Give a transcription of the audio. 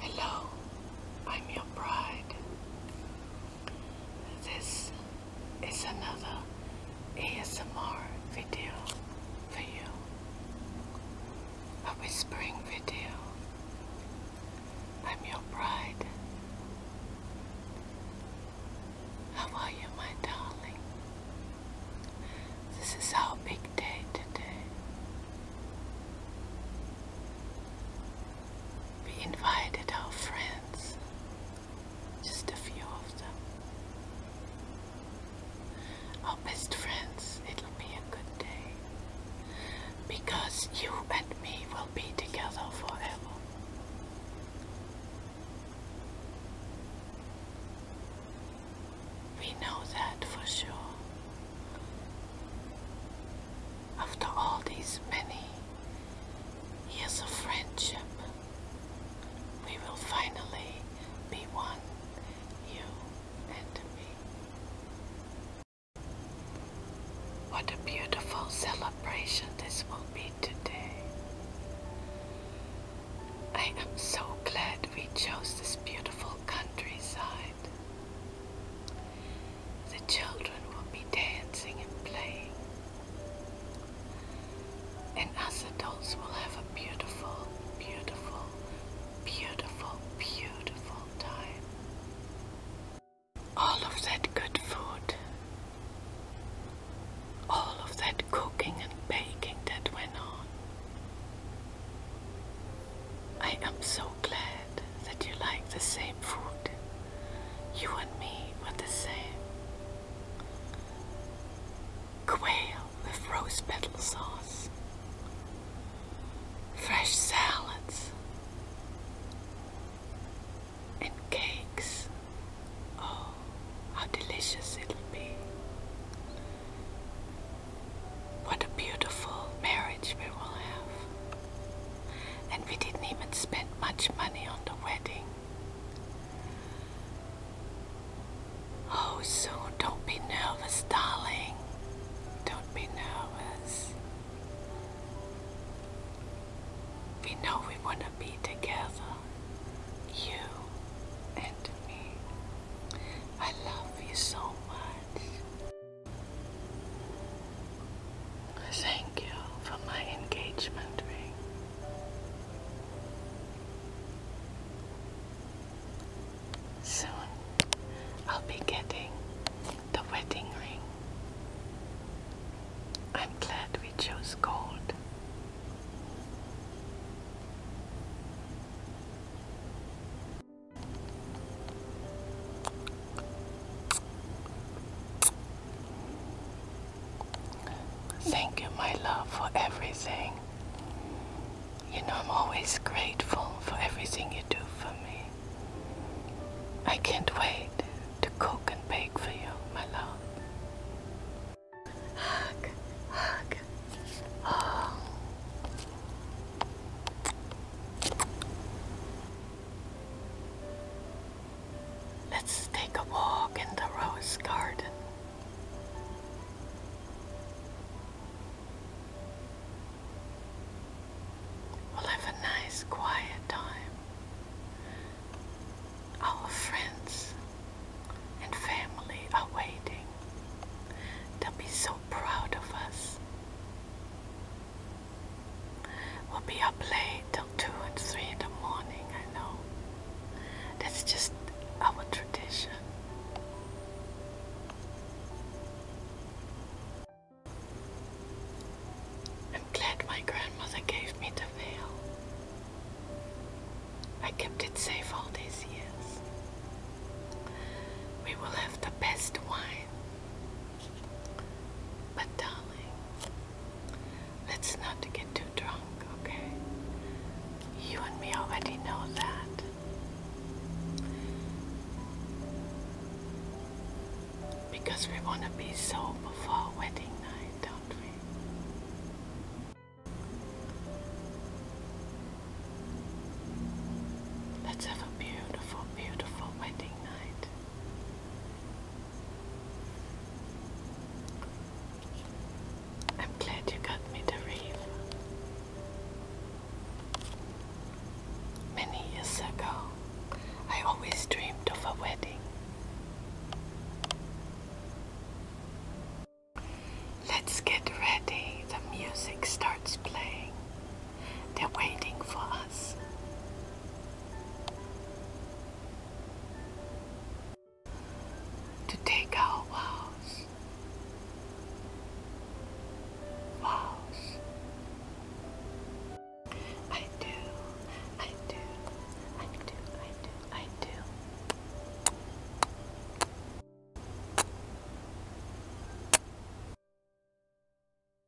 Hello, I'm your bride. This is another ASMR video for you. A whispering video. I'm your bride. How are you, my darling? This is our big day today. We invited our friends, just a few of them. Our best friends, it'll be a good day. Because you and me will be together forever. We know that for sure. After all these many years of friendship, we will finally be one, you and me. What a beautiful celebration this will be today. I am so glad we chose this beautiful countryside. The children will be dancing and playing, and us adults will have a beautiful, beautiful, beautiful, beautiful time. All of that good food all of that cooking and baking that went on. I am so glad that you like the same food. You and me were the same. Quail with rose petal sauce. Fresh salads and cakes. Oh, how delicious it'll be. What a beautiful marriage we will have. And we didn't even spend much money on the wedding. Oh, so don't be nervous, darling. Don't be nervous. We know we want to be together, you and me. I love you so much. Thank you for my engagement ring. Soon I'll be getting the wedding ring. I'm glad we chose gold. Thank you, my love, for everything. You know, I'm always grateful for everything you do for me. I can't wait to cook and bake for you, my love. Hug, hug. Oh. Let's take a walk in the rose garden. We'll have a nice quiet time. Our friends and family are waiting. They'll be so proud of us. We'll be up late till 2 and 3 in the morning, I know. That's just our tradition. I'm glad my grandmother gave me the veil. I kept it safe all these years. We will have the best wine. But darling, Let's not get too drunk, okay? You and me already know that. Because we want to be sober for wedding night, don't we? Let's have a beautiful, beautiful wedding night. I'm glad you got me the reef. Many years ago, I always dreamed of a wedding. Let's get ready. The music starts playing. They're waiting for us to take our vows. Vows. I do, I do, I do, I do, I do.